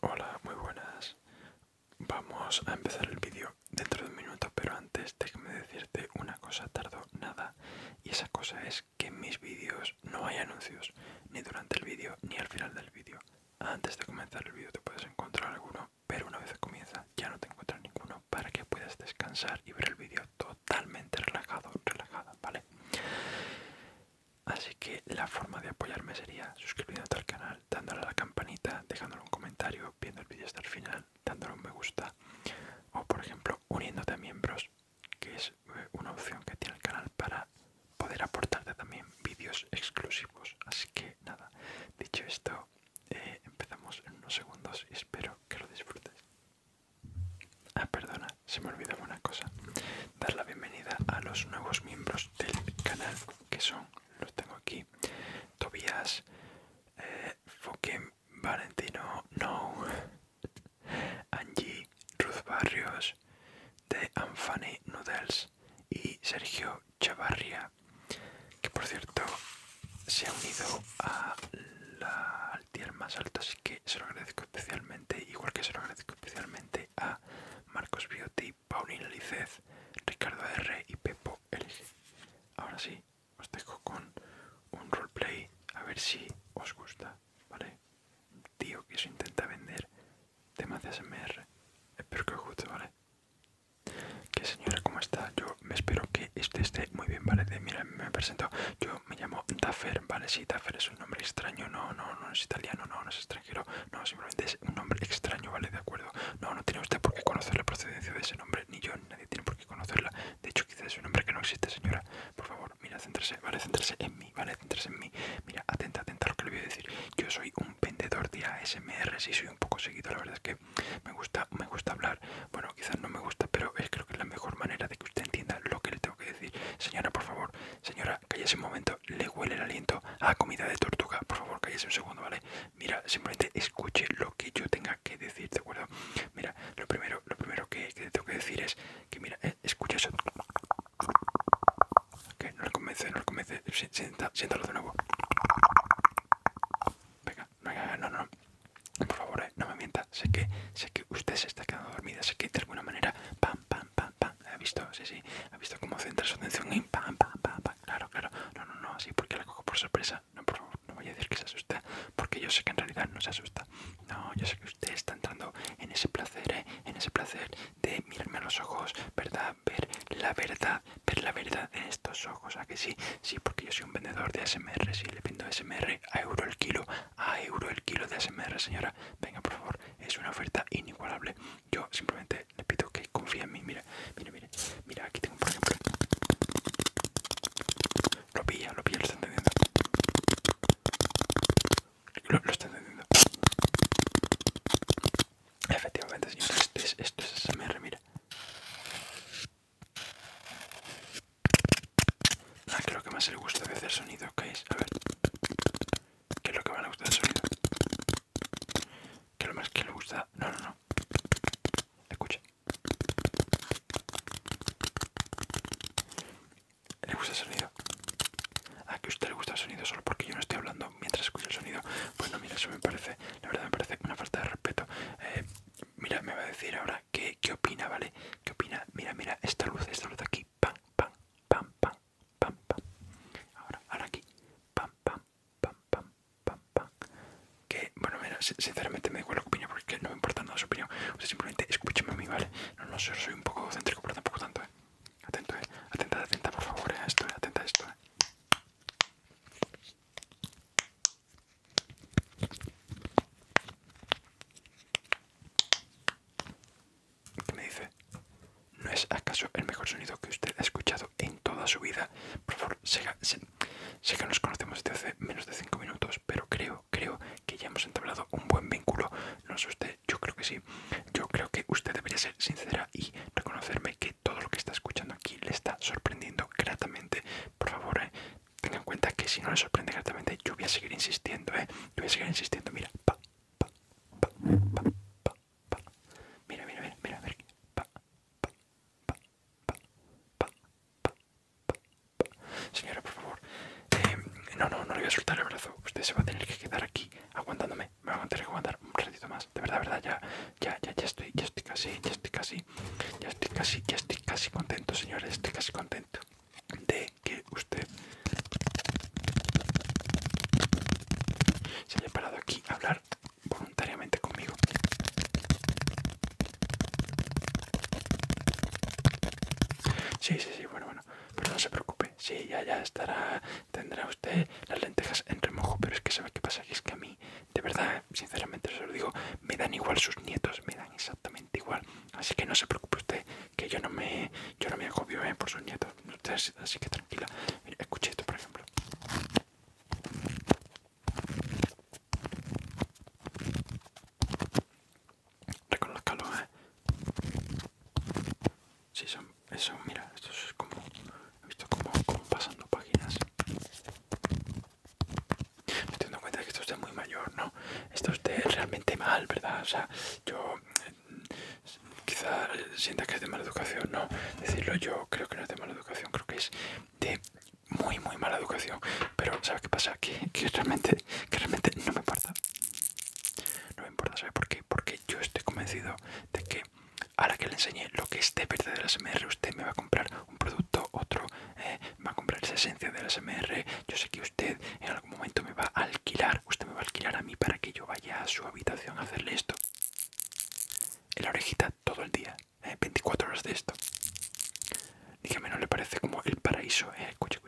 Hola, muy buenas. Vamos a empezar el vídeo dentro de un minuto, pero antes déjame decirte una cosa, tardo nada. Y esa cosa es que en mis vídeos no hay anuncios, ni durante el vídeo ni al final del vídeo. Antes de comenzar el vídeo te puedes encontrar alguno, pero una vez comienza ya no te encuentras ninguno para que puedas descansar y ver el vídeo totalmente relajado, relajada, ¿vale? Así que la forma de apoyarme sería suscribiéndote al canal, dándole a la campanita, dejándole un comentario, viendo el vídeo hasta el final, dándole un me gusta o por ejemplo uniéndote a miembros, que es eh, una opción que tiene el canal para poder aportarte también vídeos exclusivos. Así que nada, dicho esto, eh, empezamos en unos segundos y espero que lo disfrutes. Ah, perdona, se me olvidaba una cosa. Dar la bienvenida a los nuevos miembros del canal que son, los tengo aquí, Tobías, eh, Valentino, no, Angie, Ruth Barrios, de Anfani Noodles y Sergio Chavarria, que por cierto se ha unido a la, al tier más alto, así que se lo agradezco especialmente, igual que se lo agradezco especialmente a. Marcos Beauty, Paulina Licez, Ricardo R. y Pepo LG. Ahora sí, os dejo con un roleplay a ver si os gusta, ¿vale? tío que se intenta vender temas de ASMR. Espero que os guste, ¿vale? ¿Qué señora, ¿cómo está? Yo me espero que este esté muy bien, ¿vale? mira, me presento. Yo me llamo Daffer, ¿vale? Sí, Daffer es un nombre extraño. No, no, no es italiano, no, no es extraño. No, simplemente es un nombre extraño, ¿vale? De acuerdo. No, no tiene usted por qué conocer la procedencia de ese nombre, ni yo, nadie tiene por qué conocerla. De hecho, quizás es un nombre que no existe, señora. Por favor, mira, céntrese, ¿vale? Céntrese en mí, ¿vale? Céntrese en mí. Mira, atenta, atenta a lo que le voy a decir. Yo soy un vendedor de ASMR, sí, soy un poco seguido, la verdad es que me gusta, me gusta hablar. Bueno, quizás no me gusta, pero es creo que es la mejor manera de que usted entienda lo que le tengo que decir. Señora, por favor, Señora, cállese un momento, le huele el aliento a comida de tortuga. Por favor, cállese un segundo, ¿vale? Mira, simplemente escuche lo que yo tenga que decir, ¿de acuerdo? Mira, lo primero, lo primero que, tengo que decir es que, mira, eh, escucha eso. Que no le convence, no le convence. siéntalo de nuevo. Venga, no, no, no. Por favor, eh, no me mienta. Sé que, sé que usted se está quedando dormida. Sé que de alguna manera, pam, pam, ¿Ha visto? Sí, sí. ¿Ha visto cómo centra su atención pam, pam, pam, Claro, claro. No, no, no. Así porque la cojo por sorpresa. No, por favor, no voy a decir que se asusta. Porque yo sé que en realidad no se asusta. No, yo sé que usted está entrando en ese placer, ¿eh? En ese placer de mirarme a los ojos, ¿verdad? Ver la verdad, ver la verdad en estos ojos. ¿A que sí? Sí, porque yo soy un vendedor de smr y le pido smr a euro el kilo. A euro el kilo de smr señora. Venga, por favor es una oferta inigualable. Yo simplemente les pido que confíen en mí. Mira, mira, mira, mira, aquí tengo por ejemplo. Lo pilla, lo pilla, lo está entendiendo. Lo, está entendiendo. Efectivamente, esto es, esto es SMR, mira. Ah, creo que más le gusta de hacer sonido, es A ver. ¿Qué es lo que más le gusta el sonido? ¿Qué es lo más que le gusta? No, no, no. Escucha. ¿Le gusta el sonido? ¿A que a usted le gusta el sonido solo porque yo no estoy hablando mientras escucho el sonido? Bueno, mira, eso me parece, la verdad me parece una falta de respeto. Eh, mira, me va a decir ahora qué, qué opina, ¿vale? ¿Qué opina? Mira, mira, esta luz, esta luz de aquí, pam, pam, pam, pam, pam, pam. Ahora, ahora aquí, pam, pam, pam, pam, pam, Que, bueno, mira, sinceramente me da igual la opinión porque no me importa nada su opinión. O simplemente escúchame a mí, ¿vale? No, no, sé, soy un poco céntrico, pero tampoco tanto, ¿eh? Atento, ¿eh? Atenta, atenta, por favor, ¿eh? esto, ¿eh? atenta a esto, ¿Qué me dice, ¿no es acaso el mejor sonido que usted ha escuchado en toda su vida? Por favor, sé, que nos conocemos desde hace menos de 5 minutos, pero creo, creo que ya hemos entablado un buen vínculo. No es usted, yo creo que sí. Yo creo que usted debería ser sincera y reconocerme que todo lo que está escuchando aquí le está sorprendiendo gratamente. Por favor, eh, tenga en cuenta que si no le sorprende gratamente, yo voy a seguir insistiendo, ¿eh? Yo voy a seguir insistiendo, mira, pa, pa, pa, pa, pa, Mira, mira, mira, Señora, por favor. Eh, no, no, no le voy a soltar el brazo. Usted se va a tener que quedar aquí aguantándome. Me va a tener que aguantar un ratito más. De verdad, de verdad, ya, ya, ya, ya estoy, ya estoy casi, ya estoy casi, ya estoy casi, ya estoy casi contento, señores, estoy casi contento de que usted se haya parado aquí a hablar voluntariamente conmigo. Sí, sí, sí, bueno, bueno, pero no se preocupe, sí, ya, ya estará, tendrá usted las lentejas en remojo, pero es que sabe qué pasa, que es que a mí, de verdad, sinceramente se lo digo, me dan igual sus nietos, me dan exactamente igual. Así que no se preocupe usted, que yo no me, yo no me agobio ¿eh? por sus nietos. así que tranquila. escuche esto, por ejemplo. Reconozcalo, ¿eh? Sí, son, eso, mira, esto es como, he visto como, como pasando páginas. Me estoy dando cuenta de que es de muy mayor, ¿no? Esto es de realmente mal, ¿verdad? O sea, yo eh, quizá sienta que es de mala educación, no, decirlo yo creo que no es de mala educación, creo que es de muy muy mala educación, pero ¿sabe qué pasa? Que, realmente, realmente no me importa, no me importa, ¿sabe por qué? Porque yo estoy convencido de que ahora que le enseñé lo que es de verdad de la SMR, usted me va a comprar un producto, otro, eh, va a comprar esa esencia de la yo sé que usted en momento me va a alquilar, usted me va a alquilar a mí para que yo vaya a su habitación a hacerle esto. En la orejita todo el día, 24 eh, horas de esto. Dígame, ¿no le parece como el paraíso? Eh, escuche,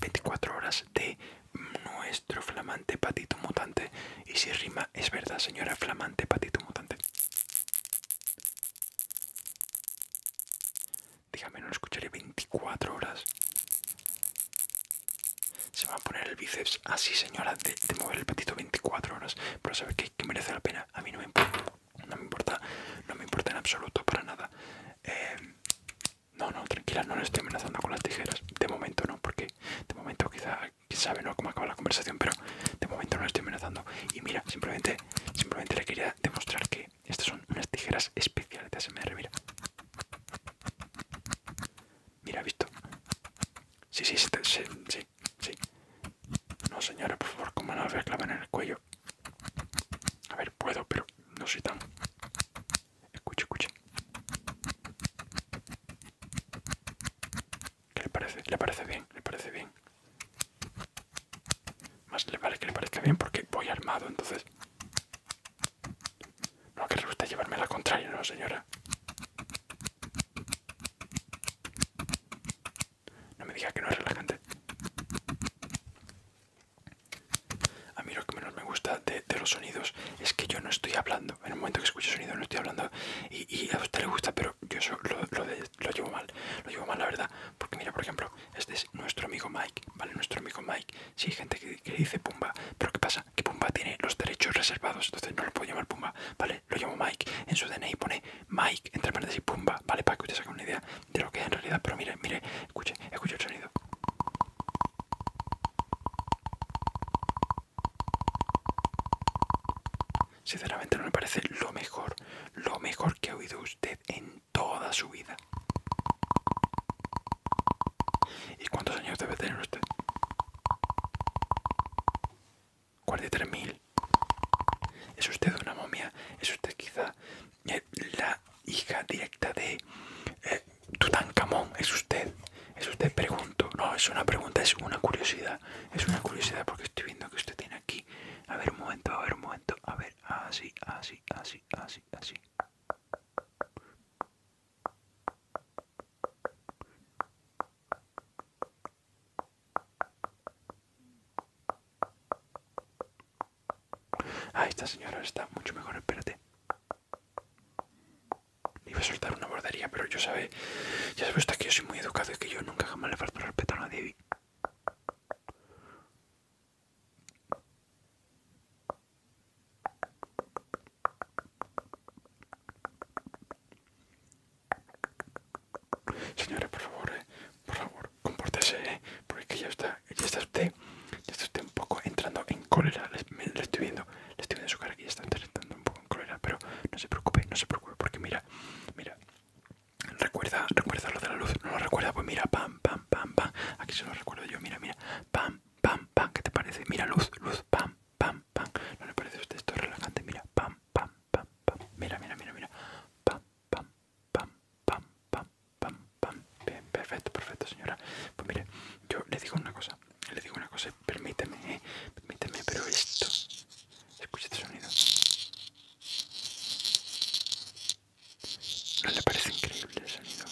24 horas de nuestro flamante patito mutante. Y si rima, es verdad, señora, flamante patito mutante. Dígame, no lo escucharé 24 horas. Se va a poner el bíceps así, ah, señora, de, mover el patito 24 horas. Pero sabes que, merece la pena. A mí no me importa. No me importa, no me importa en absoluto, para nada. Em, no, no, tranquila, no le estoy amenazando con las tijeras. De momento no, porque de momento quizá, quién sabe, ¿no? Cómo acaba la conversación, pero de momento no le estoy amenazando. Y mira, simplemente, simplemente le quería demostrar que estas son unas tijeras especiales de ASMR, mira. Mira, visto. Sí, sí, sí, sí, No, señora, por favor, como no me clavan en el cuello. A ver, puedo, pero no soy tan... Escuche, escuche. ¿Qué le parece? ¿Le parece bien? ¿Le parece bien? Más le vale que le parezca bien porque voy armado, entonces... No que le gusta llevarme la contraria, ¿no, señora? No me diga que no es relajante. A mí lo que menos me gusta de, los sonidos es que yo no estoy hablando. En el momento que escucho sonido no estoy hablando y, a usted le gusta, pero yo eso lo, lo de lo llevo mal, lo llevo mal la verdad, porque mira, por ejemplo, este es nuestro amigo Mike, ¿vale? Nuestro amigo Mike, si hay gente que, dice Pumba, pero ¿qué pasa? Que Pumba tiene los derechos reservados, entonces no lo puedo llamar Pumba, ¿vale? Lo llamo Mike, en su DNI pone Mike, entre paréntesis Pumba, ¿vale? Para que usted saque una idea de lo que es en realidad, pero mire, mire, escuche, escuche el sonido. Sinceramente no me parece lo mejor, lo mejor que ha oído usted en toda su vida. ¿Y cuántos años debe tener usted? mil. ¿Es usted una momia? ¿Es usted quizá eh, la hija directa de eh, Tutankamón? ¿Es usted? ¿Es usted? Pregunto. No, es una pregunta, es una curiosidad. Es una curiosidad porque estoy viendo que usted tiene aquí. A ver un momento, a ver un momento, a ver así, así, así, así, así. Ah, esta señora está mucho mejor, espérate. Iba a soltar una bordería, pero yo sabe, ya sabes que yo soy muy educado y que yo nunca jamás le falto respeto a nadie. Señora, por favor, eh, por favor, compórtese, eh, porque ya está, ella está usted, ya está un poco entrando en cólera, le, estoy viendo, le estoy viendo su cara que ya está entrando un poco en cólera, pero no se preocupe, no se preocupe, porque mira, mira, Recuerda, recuerda lo de la luz. No lo recuerda, pues mira, pam, pam, pam, pam. Aquí se lo recuerdo yo, mira, mira. Pam, pam, pam. ¿Qué te parece? Mira, luz, luz, pam, pam, pam. ¿No le parece a usted esto relajante? Mira, pam, pam, pam, pam. Mira, mira, mira, mira. Pam, pam, pam, pam, pam, pam, pam. perfecto, perfecto, señora. Pues mire, yo le digo una cosa. Le digo una cosa, permíteme, Permíteme, pero esto Escucha este sonido. ¿No le parece increíble el sonido?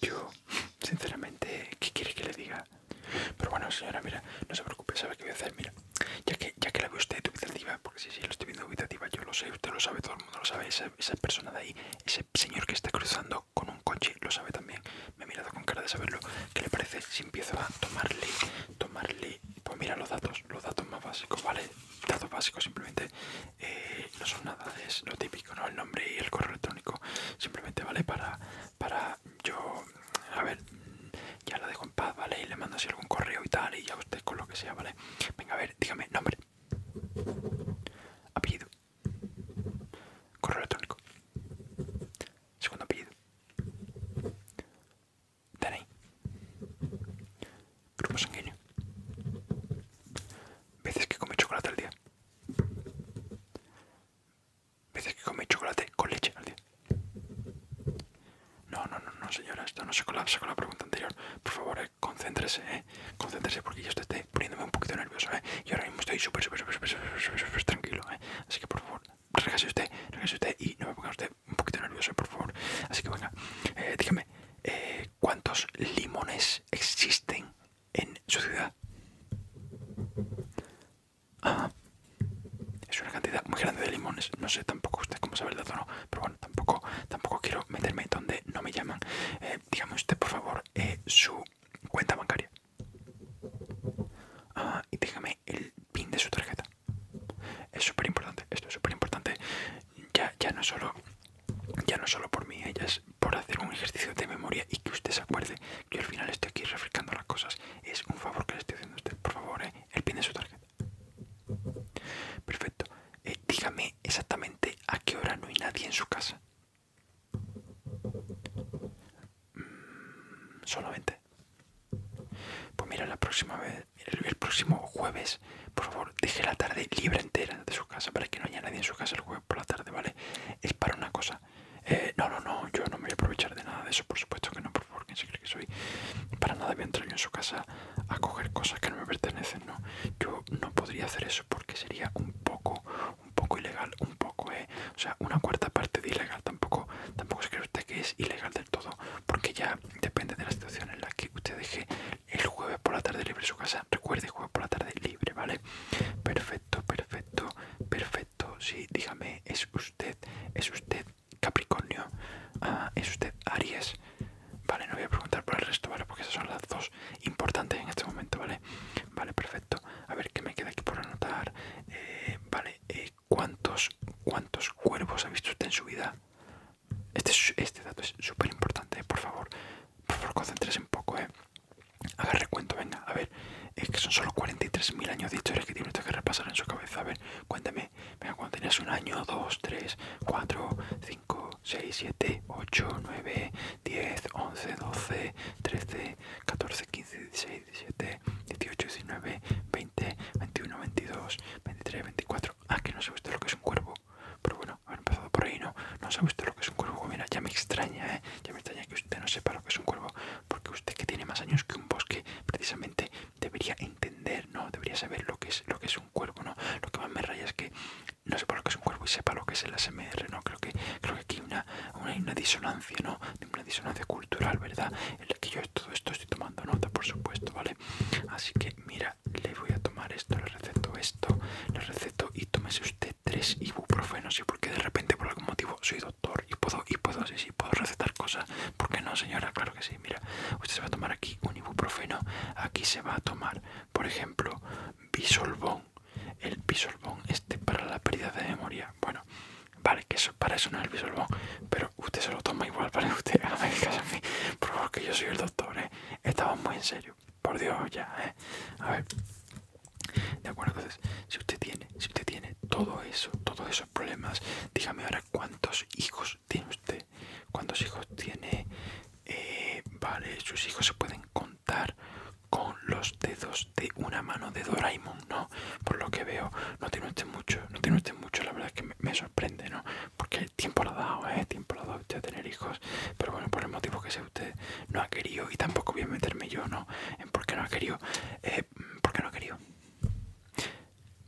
Yo, sinceramente, ¿qué quiere que le diga? Pero bueno, señora, mira, no se preocupe, sabe que voy a hacer, mira ya que, ya que la ve usted dubitativa, porque si lo estoy viendo dubitativa, yo lo sé, usted lo sabe, todo el mundo lo sabe, esa, persona de ahí, ese señor que está cruzando con un coche, lo sabe también, me he mirado con cara de saberlo, ¿qué le parece si empiezo a tomarle, tomarle, pues mira los datos, los datos más básicos, ¿vale? Datos básicos simplemente, eh, no son nada, es lo típico, ¿no? El nombre y el correo electrónico, simplemente, ¿vale? Para, para yo, a ver, ya la dejo en paz, ¿vale? Y le mando así algún correo y tal, y ya usted con lo que sea, ¿vale? Venga, a ver, dígame, nombre, apellido, correo electrónico, segundo apellido, tenéis grupo sanguíneo, veces que come chocolate al día, veces que come chocolate con leche al día. No, no, no, señora, esto no se colapsa con la pregunta anterior. Por favor, eh, concéntrese, eh. Concéntrese porque yo estoy poniéndome un poquito nervioso, eh. Y ahora mismo estoy súper, súper, súper, súper, tranquilo, eh. Así que por favor, relájese usted, relájese usted y no me ponga usted un poquito nervioso, eh, por favor. Así que venga, eh, dígame, eh, ¿cuántos limones existen en su ciudad? Ah, es una cantidad muy grande de limones. No sé tampoco usted cómo sabe el dato, ¿no? Pero tampoco, tampoco quiero meterme donde no me llaman. Eh, dígame usted, por favor, eh, su cuenta bancaria. Ah, y dígame el pin de su tarjeta. Es súper importante, esto es súper importante. Ya, ya, no solo, ya no solo por mí, eh, ya es por hacer un ejercicio de memoria y que usted se acuerde que al final estoy aquí refrescando las cosas. Es un favor que le estoy haciendo a usted, por favor, el pin de su tarjeta. Perfecto. Eh, dígame exactamente a qué hora no hay nadie en su casa. Mm, solamente. Pues mira, la próxima vez, el, próximo jueves, por favor, deje la tarde libre entera de su casa para que no haya nadie en su casa el jueves por la tarde, ¿vale? Es para una cosa. Eh, no, no, no, yo no me voy a aprovechar de nada de eso, por supuesto que no, por favor porque se cree que soy. Para nada voy a entrar yo en su casa a coger cosas que no me pertenecen, ¿no? Yo no podría hacer eso porque sería un poco, un poco ilegal, un poco, ¿eh? O sea, una cuarta parte de ilegal. Tampoco, tampoco se cree usted que es ilegal del todo, porque ya depende de la situación en la que usted deje el jueves por la tarde libre en su casa. Recuerde, jueves por la tarde libre, ¿vale? Perfecto, perfecto, perfecto. Sí, dígame, ¿es usted, es usted Capricornio, ah, es usted Aries. Vale, no voy a preguntar por el resto, ¿vale? Porque esas son las dos importantes en este momento, ¿vale? Vale, perfecto. A ver, ¿qué me queda aquí por anotar? Eh, vale, eh, ¿cuántos, ¿cuántos cuervos ha visto usted en su vida? Este, este dato es súper importante, ¿eh? por favor. Por favor, concéntrese un poco, ¿eh? Haga recuento, venga, a ver. Es que son solo 43.000 años dicho es que tiene usted que repasar en su cabeza. A ver, cuéntame cuando tenías un año, 2, 3, 4, 5, 6, 7, 8, 9, 10, 11, 12, 13, 14, 15, 16, 17, 18, 19, 20, 21, 22, 23, 24. Ah, que no se visto lo que es un cuervo. Pero bueno, haber empezado por ahí, ¿no? No se visto lo que es un cuervo. Mira, ya me extraña, ¿eh? Ya me extraña que usted no sepa lo que es un cuervo. Porque usted que tiene más años que un bosque, precisamente debería entender, ¿no? Debería saber lo que es, lo que es un cuerpo ¿no? Lo que más me raya es que no sepa lo que es un cuerpo y sepa lo que es el ASMR, ¿no? Creo que, creo aquí hay una, disonancia, ¿no? Una disonancia cultural, ¿verdad? En la que yo todo esto estoy tomando nota, por supuesto, ¿vale? Así que, mira, le voy a tomar esto, le receto esto, le receto y tómese usted tres ibuprofenos, ¿sí? Porque de repente, por algún motivo, soy doctor y puedo, y puedo, puedo recetar cosas. ¿Por qué no, señora? Claro que sí mira, usted se va a tomar aquí un ibuprofeno, aquí se va a tomar, por ejemplo, bisolbón. El bisolbón este para la pérdida de memoria. Bueno, vale, que eso para eso no es el bisolbón, pero usted se lo toma igual, para Usted a mí, por favor, que yo soy el doctor, ¿eh? muy en serio, por Dios, ya, ¿eh? A ver, de acuerdo, entonces, si usted tiene si usted tiene todo eso, todos esos problemas, dígame ahora cuántos hijos tiene usted, cuántos hijos tiene, eh, vale, sus hijos se pueden contar con los dedos de una mano de Doraemon, ¿no? Por lo que veo, no tiene usted mucho, no tiene usted mucho, la verdad es que me, sorprende, ¿no? Porque el tiempo lo ha dado, ¿eh? tiempo lo ha dado usted a tener hijos, pero bueno, por el motivo que sea usted no ha querido, y tampoco voy a meterme yo, ¿no? En por qué no ha querido, eh, ¿por qué no ha querido?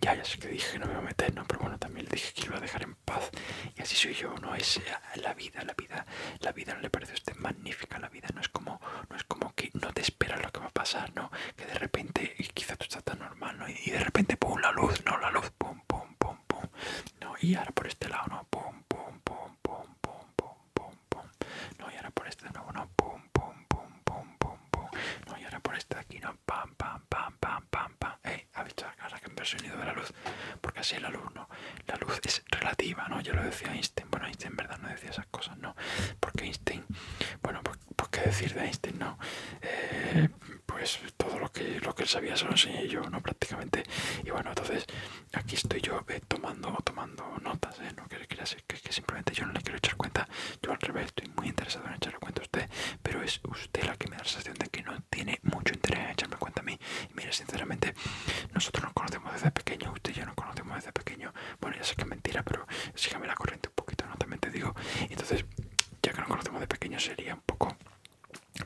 Ya, ya sé que dije que no me iba a meter, ¿no? Pero bueno, también le dije que iba a dejar en paz. Y así soy yo, ¿no? Es la vida, la vida, la vida no le parece a usted magnífica, la vida no es como, no es como que no te espera lo que va a pasar, ¿no? Que de repente, quizá tú estás tan normal, ¿no? Y de repente, pum, la luz, ¿no? La luz, pum, pum, pum, pum. No, y ahora por este lado, ¿no? Pum, pum, pum, pum, pum, pum, pum, pum. No, y ahora por este no ¿no? Pum, pum, pum, pum, pum, pum. No, y ahora por este de aquí, ¿no? Pam, pam, pam, pam, pam, pam. ha visto ahora que ha sonido de la luz. Porque así el alumno La luz es relativa, ¿no? Yo lo decía Einstein. Bueno, Einstein en verdad no decía esas cosas, ¿no? Porque Einstein, bueno, pues, pues qué decir de Einstein, no? Eh, pues todo lo que, lo que él sabía se lo enseñé yo, ¿no? Prácticamente. Y bueno, entonces aquí estoy yo eh, tomando, tomando notas, ¿eh? No que quería que, simplemente yo no le quiero echar cuenta, yo al revés estoy muy interesado en echarle cuenta a usted, pero es usted la que me da la sensación de que no tiene mucho interés en echarme cuenta a mí. Y mire, sinceramente, nosotros nos conocemos desde pequeño, usted ya yo nos conocemos desde pequeño, bueno, ya sé que es mentira, pero sígame la corriente un poquito, no también te digo. Entonces, ya que nos conocemos de pequeño sería un poco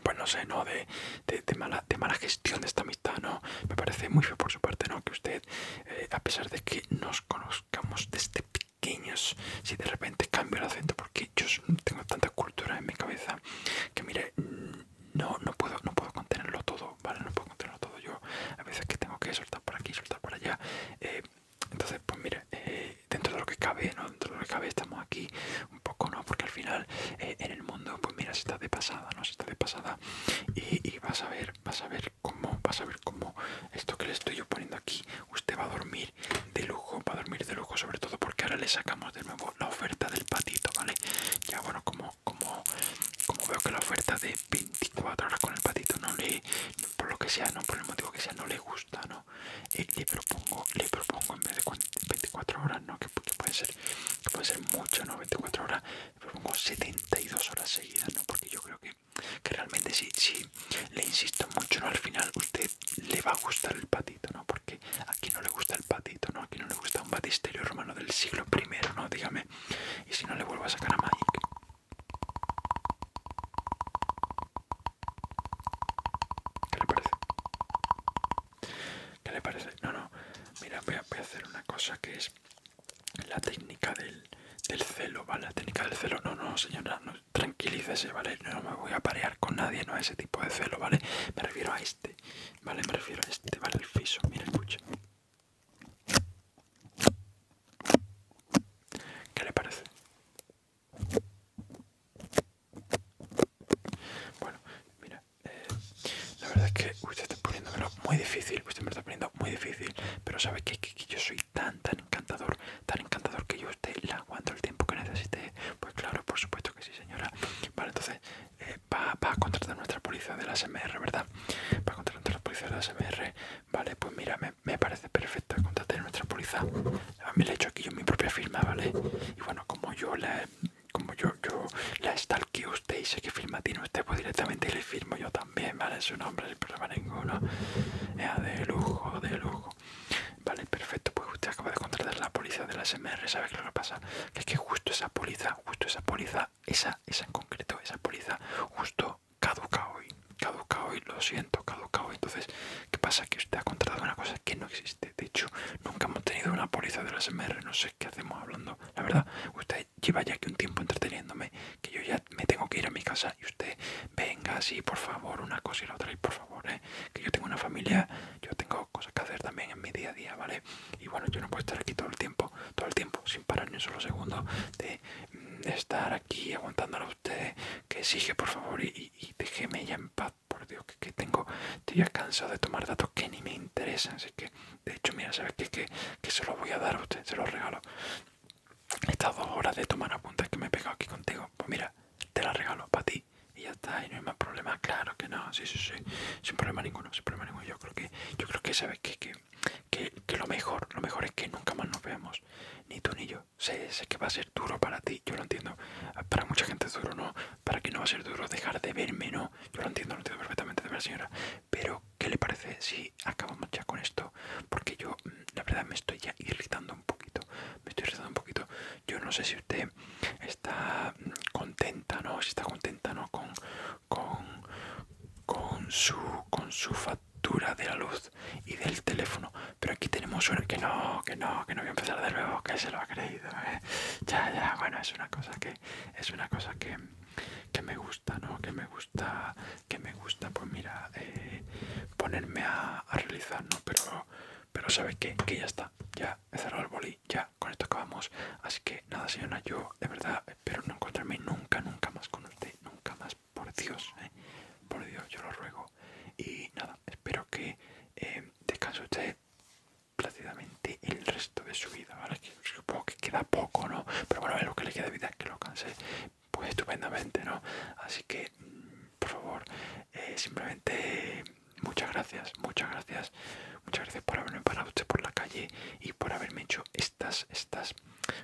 pues no sé, ¿no? De, de, mala, de mala gestión de esta amistad, ¿no? Me parece muy feo por su parte, ¿no? Que usted eh, a pesar de que nos conozcamos desde pequeños, si de repente cambio el acento, porque yo tengo tanta cultura en mi cabeza que mire, mm, no, no puedo, no puedo contenerlo todo, ¿vale? No puedo contenerlo todo. Yo a veces que tengo que soltar por aquí, soltar por allá. Eh, entonces, pues mire, eh, dentro de lo que cabe, ¿no? Dentro de lo que cabe estamos aquí un poco, ¿no? Porque al final en el mundo, pues mira, si está de pasada, ¿no? si está de pasada y vas a ver, vas a ver cómo, vas a ver cómo esto que le estoy yo poniendo aquí, usted va a dormir de lujo, va a dormir de lujo sobre todo porque ahora le sacamos de nuevo la oferta del patito, ¿vale? Ya bueno, como, como, como veo que la oferta de 24 horas con el patito no le, por lo que sea, no por el motivo que sea, no le gusta, ¿no? Eh, le propongo, le propongo en vez de 24 horas, ¿no? Que, puede ser, que puede ser mucho, ¿no? 24 horas, le propongo 72 horas seguidas, ¿no? Porque yo creo que que, realmente si, sí, le insisto mucho, ¿no? al final usted le va a gustar el patito, ¿no? Porque aquí no le gusta el patito, ¿no? Aquí no le gusta un batisterio romano del siglo primero ¿no? Dígame. Y si no le vuelvo a sacar a Magic. ¿Qué le parece? ¿Qué le parece? No, no. Mira, voy a hacer una cosa que es la técnica del, celo, ¿vale? La técnica del celo, no, no, señora, no, tranquilícese, ¿vale? no me voy a parear con nadie, no a ese tipo de celo, ¿vale? Me refiero a este, ¿vale? Me refiero a este, ¿vale? El fiso, mira, escucha. ¿Qué le parece? Bueno, mira, eh, la verdad es que usted está poniéndome muy difícil, usted pues me está poniendo muy difícil, pero sabe que, yo soy tan, tan encantador, tan encantador que yo usted le aguanto el tiempo que necesite. Pues claro, por supuesto que sí, señora. Vale, entonces eh, va, a contratar nuestra póliza de la SMR, ¿verdad? para contratar nuestra póliza de la SMR. Vale, pues mira, me, parece perfecto contratar nuestra policía A mí le he hecho aquí yo mi propia firma, ¿vale? Y bueno, como yo la como yo, yo la stalkeo usted y sé que firma tiene usted, pues directamente le firmo yo también Bien, ¿vale? Su nombre, sin problema ninguno. de lujo, de lujo. Vale, perfecto. Pues usted acaba de contratar la póliza de la SMR. ¿Sabe qué lo que pasa? Que es que justo esa póliza, justo esa póliza, esa, esa en concreto, esa póliza, justo caduca hoy. Caduca hoy, lo siento, caduca hoy. Entonces, ¿qué pasa? Que usted ha contratado una cosa que no existe. De hecho, nunca hemos tenido una póliza de la SMR. No sé qué hacemos hablando. La verdad, usted lleva ya que un tiempo entreteniéndome, que yo ya me tengo que ir a mi casa y usted venga, así por favor, una cosa y la otra, y por favor, ¿eh? que yo tengo una familia, yo tengo cosas que hacer también en mi día a día, ¿vale? Y bueno, yo no puedo estar aquí todo el tiempo, todo el tiempo, sin parar ni un solo segundo de mm, estar aquí aguantando a usted, que exige, por favor, y, déjeme ya en paz, por Dios, que, que tengo, estoy ya cansado de tomar datos que ni me interesan, así que de hecho, mira, ¿sabes qué? Que, se lo voy a dar a usted, se lo regalo. Estas dos horas de tomar apuntes que me he pegado aquí contigo, pues mira, te la regalo para ti y ya está, y no hay más problema. Claro que no, sí, sí, sí, sin problema ninguno, sin problema ninguno. Yo creo que, yo creo que sabes que, que, lo mejor, lo mejor es que nunca más nos veamos, ni tú ni yo. Sé, sé que va a ser duro para ti, yo lo entiendo. Para mucha gente es duro, ¿no? Para que no va a ser duro dejar de verme, ¿no? Yo lo entiendo, lo entiendo perfectamente de ver, señora. Pero ¿qué le parece si acabamos ya con esto? Porque yo, mm, la verdad, me estoy ya irritando un poquito. Me estoy irritando un poquito. Yo no sé si usted está mm, contenta, ¿no? Si está contenta, ¿no? Con, con, su, con su factura de la luz y del teléfono. Pero aquí tenemos una... Que no, que no, que no voy a empezar de nuevo, que se lo ha creído. ¿eh? Ya, ya, bueno, es una cosa que... Es una cosa que que me gusta, ¿no? Que me gusta, que me gusta, pues mira, eh, ponerme a, realizar, ¿no? Pero, pero ¿sabes qué? Que ya está, ya he cerrado el boli, ya con esto acabamos. Así que nada, señora, yo de verdad espero no encontrarme nunca, nunca más con usted, nunca más, por Dios, ¿eh? Por Dios, yo lo ruego. Y nada, espero que eh, descanse usted plácidamente el resto de su vida, ¿vale? supongo que queda poco, ¿no? Pero bueno, lo que le queda de vida que lo canse pues estupendamente, ¿no? Así que, mm, por favor, eh, simplemente muchas gracias, muchas gracias, muchas gracias por haberme parado usted por la calle y por haberme hecho estas, estas,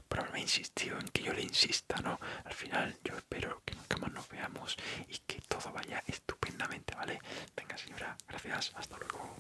por haberme insistido en que yo le insista, ¿no? Al final yo espero que nunca más nos veamos y que todo vaya estupendamente, ¿vale? Venga señora, gracias, hasta luego.